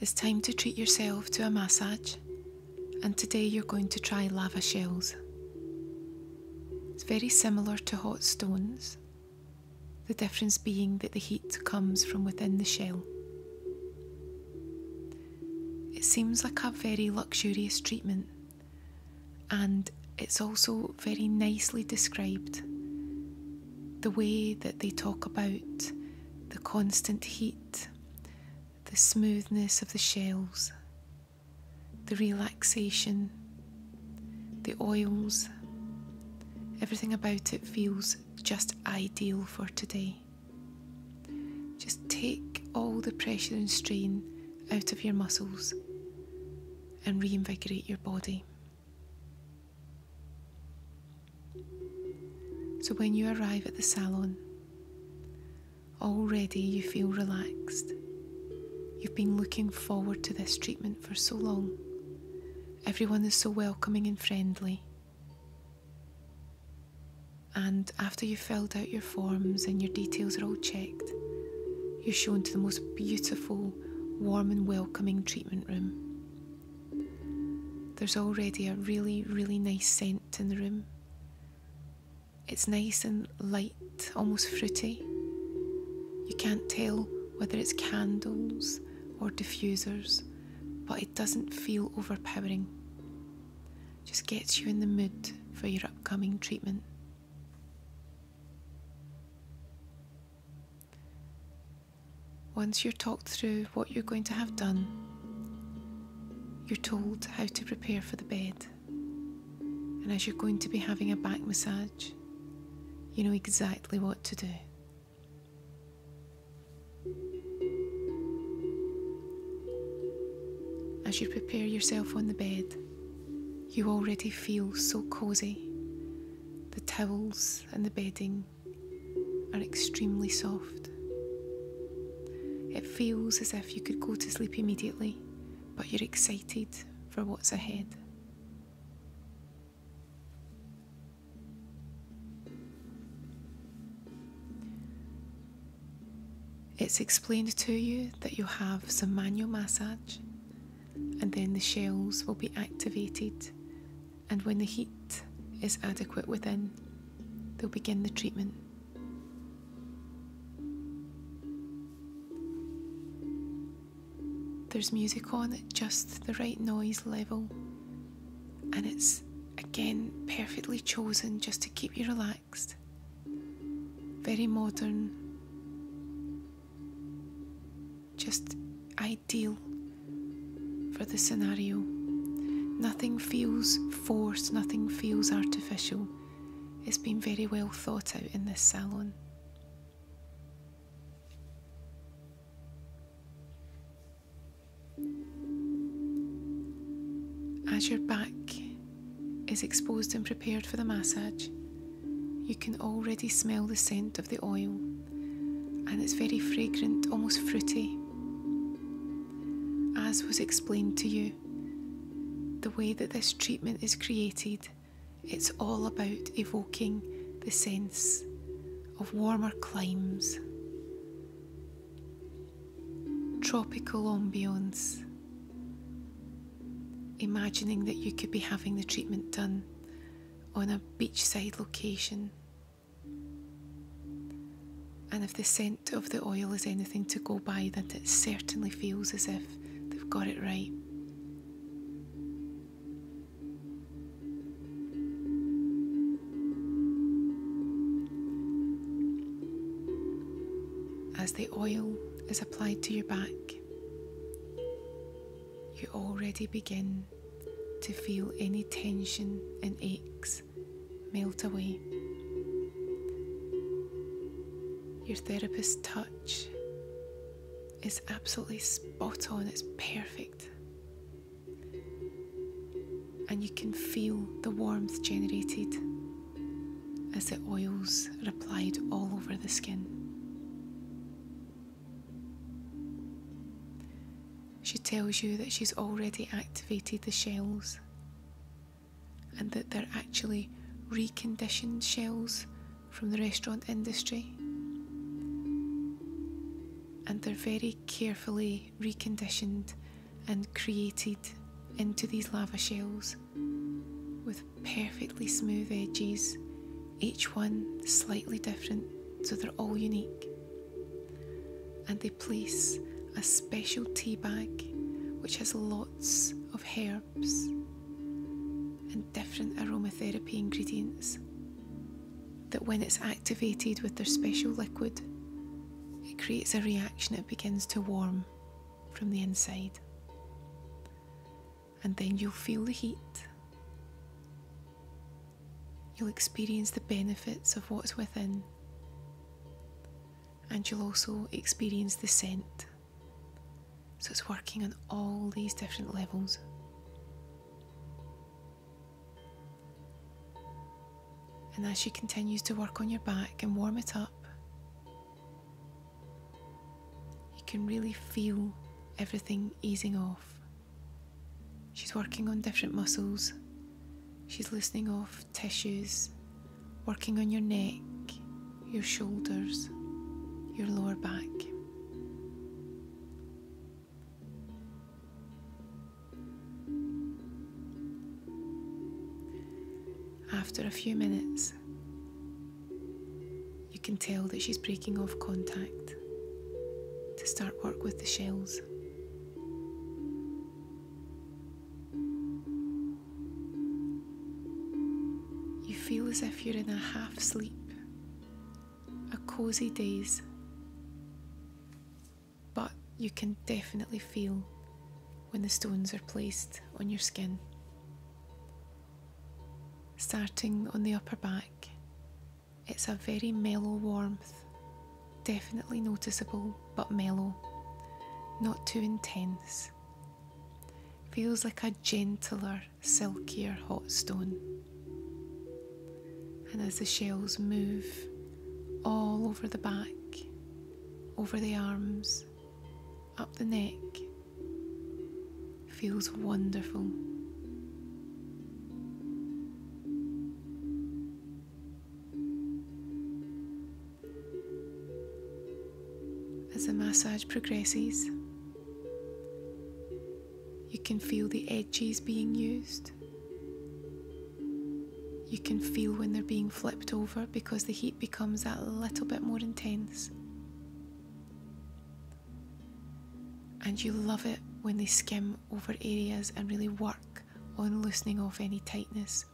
It's time to treat yourself to a massage, and today you're going to try lava shells. It's very similar to hot stones, the difference being that the heat comes from within the shell. It seems like a very luxurious treatment, and it's also very nicely described the way that they talk about the constant heat, the smoothness of the shells, the relaxation, the oils, everything about it feels just ideal for today. Just take all the pressure and strain out of your muscles and reinvigorate your body. So when you arrive at the salon, already you feel relaxed. You've been looking forward to this treatment for so long. Everyone is so welcoming and friendly. And after you've filled out your forms and your details are all checked, you're shown to the most beautiful warm and welcoming treatment room. There's already a really, really nice scent in the room. It's nice and light, almost fruity. You can't tell whether it's candles or diffusers, but it doesn't feel overpowering. Just gets you in the mood for your upcoming treatment. Once you're talked through what you're going to have done, you're told how to prepare for the bed. And as you're going to be having a back massage, you know exactly what to do. As you prepare yourself on the bed, you already feel so cozy the towels and the bedding are extremely soft. It feels as if you could go to sleep immediately, but you're excited for what's ahead. It's explained to you that you have some manual massage and then the shells will be activated. And when the heat is adequate within, they'll begin the treatment. There's music on at just the right noise level, and it's again perfectly chosen just to keep you relaxed. Very modern, just ideal for the scenario. Nothing feels forced, nothing feels artificial. It's been very well thought out in this salon. As your back is exposed and prepared for the massage, you can already smell the scent of the oil, and it's very fragrant, almost fruity. As was explained to you, the way that this treatment is created, it's all about evoking the sense of warmer climes, tropical ambience, imagining that you could be having the treatment done on a beachside location. And if the scent of the oil is anything to go by, then it certainly feels as if they've got it right. As the oil is applied to your back, you already begin to feel any tension and aches melt away. Your therapist's touch is absolutely spot on, it's perfect. And you can feel the warmth generated as the oils are all over the skin. She tells you that she's already activated the shells and that they're actually reconditioned shells from the restaurant industry. And they're very carefully reconditioned and created into these lava shells with perfectly smooth edges, each one slightly different, so they're all unique. And they place a special tea bag which has lots of herbs and different aromatherapy ingredients that when it's activated with their special liquid, it creates a reaction, it begins to warm from the inside. And then you'll feel the heat. You'll experience the benefits of what's within. And you'll also experience the scent. So it's working on all these different levels. And as she continues to work on your back and warm it up, you can really feel everything easing off. She's working on different muscles, she's loosening off tissues, working on your neck, your shoulders, your lower back. After a few minutes, you can tell that she's breaking off contact to start work with the shells. You feel as if you're in a half sleep, a cosy daze, but you can definitely feel when the stones are placed on your skin. Starting on the upper back, it's a very mellow warmth, definitely noticeable but mellow, not too intense. Feels like a gentler, silkier hot stone. And as the shells move all over the back, over the arms, up the neck feels wonderful. As the massage progresses, you can feel the edges being used. You can feel when they're being flipped over because the heat becomes that little bit more intense. And you love it when they skim over areas and really work on loosening off any tightness.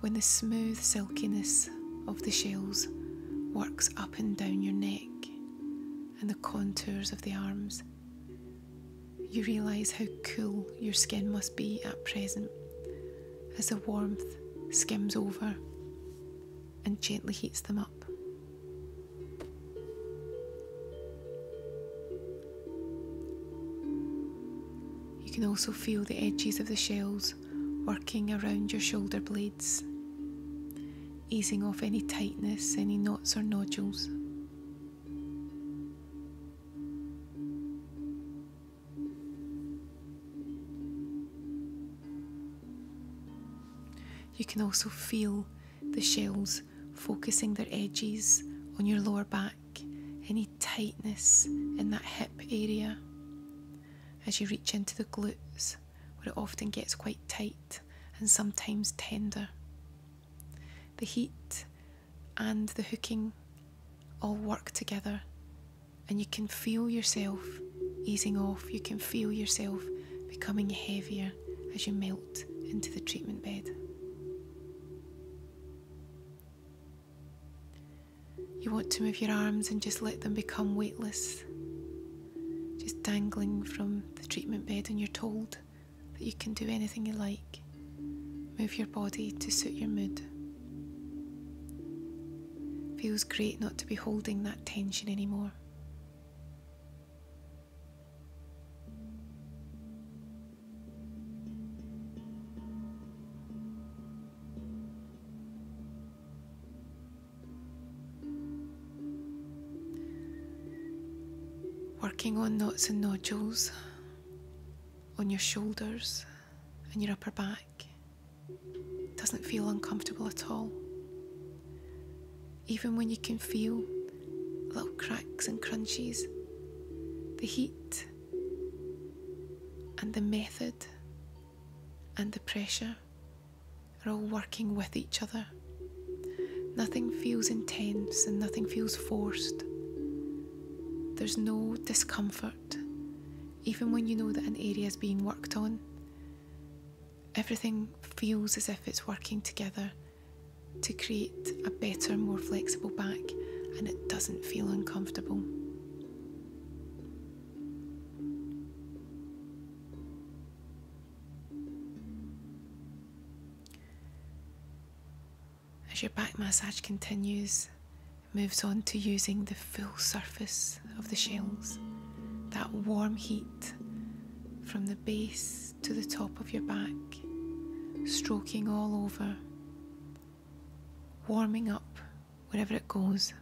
When the smooth silkiness of the shells works up and down your neck and the contours of the arms, you realise how cool your skin must be at present as the warmth skims over and gently heats them up. You can also feel the edges of the shells working around your shoulder blades, easing off any tightness, any knots or nodules. You can also feel the shells focusing their edges on your lower back, any tightness in that hip area as you reach into the glutes, where it often gets quite tight and sometimes tender. The heat and the hooking all work together, and you can feel yourself easing off, you can feel yourself becoming heavier as you melt into the treatment bed. You want to move your arms and just let them become weightless, just dangling from the treatment bed, and you're told that you can do anything you like. Move your body to suit your mood. Feels great not to be holding that tension anymore. Working on knots and nodules on your shoulders and your upper back. doesn't feel uncomfortable at all. Even when you can feel little cracks and crunches, the heat and the method and the pressure are all working with each other. Nothing feels intense and nothing feels forced. There's no discomfort, even when you know that an area is being worked on. Everything feels as if it's working together to create a better, more flexible back, and it doesn't feel uncomfortable. As your back massage continues, it moves on to using the full surface of the shells. That warm heat from the base to the top of your back, stroking all over, warming up wherever it goes.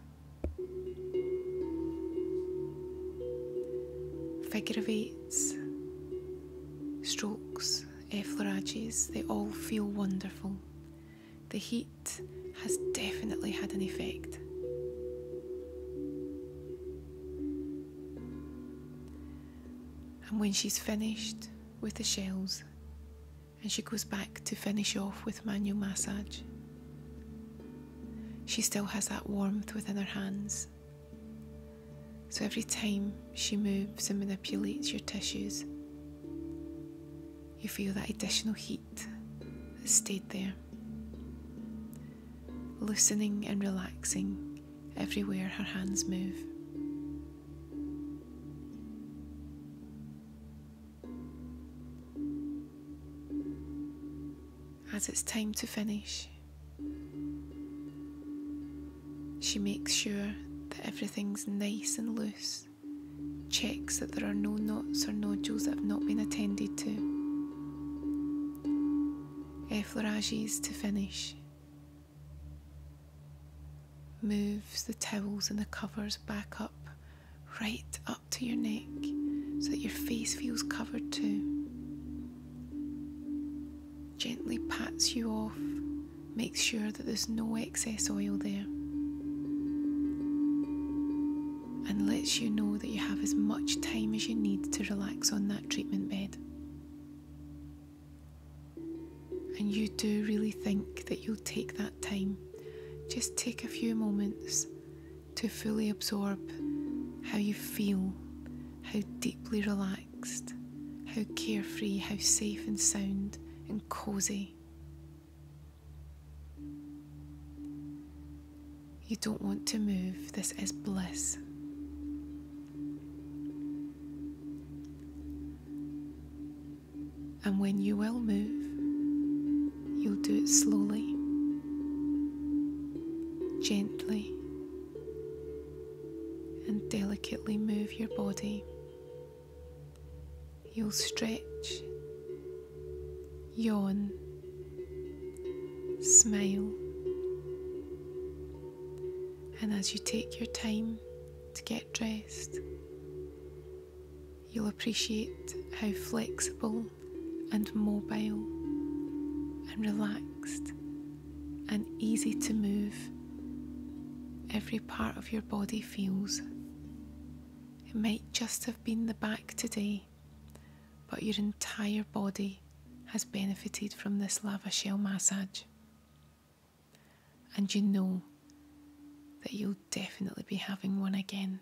Figure eights, strokes efflerages, eh, they all feel wonderful. The heat has definitely had an effect. And when she's finished with the shells, and she goes back to finish off with manual massage, she still has that warmth within her hands so every time she moves and manipulates your tissues, you feel that additional heat that stayed there, loosening and relaxing everywhere her hands move. As it's time to finish, she makes sure that everything's nice and loose, checks that there are no knots or nodules that have not been attended to. Effleurages to finish. Moves the towels and the covers back up, right up to your neck, so that your face feels covered too. Gently pats you off, makes sure that there's no excess oil there, and lets you know that you have as much time as you need to relax on that treatment bed. And you do really think that you'll take that time. Just take a few moments to fully absorb how you feel, how deeply relaxed how carefree, how safe and sound and cosy. You don't want to move, this is bliss. And when you will move, you'll do it slowly, gently, and delicately move your body. You'll stretch, yawn, smile, and as you take your time to get dressed, you'll appreciate how flexible and mobile and relaxed and easy to move. Every part of your body feels. It might just have been the back today, but your entire body has benefited from this lava shell massage. And you know that you'll definitely be having one again.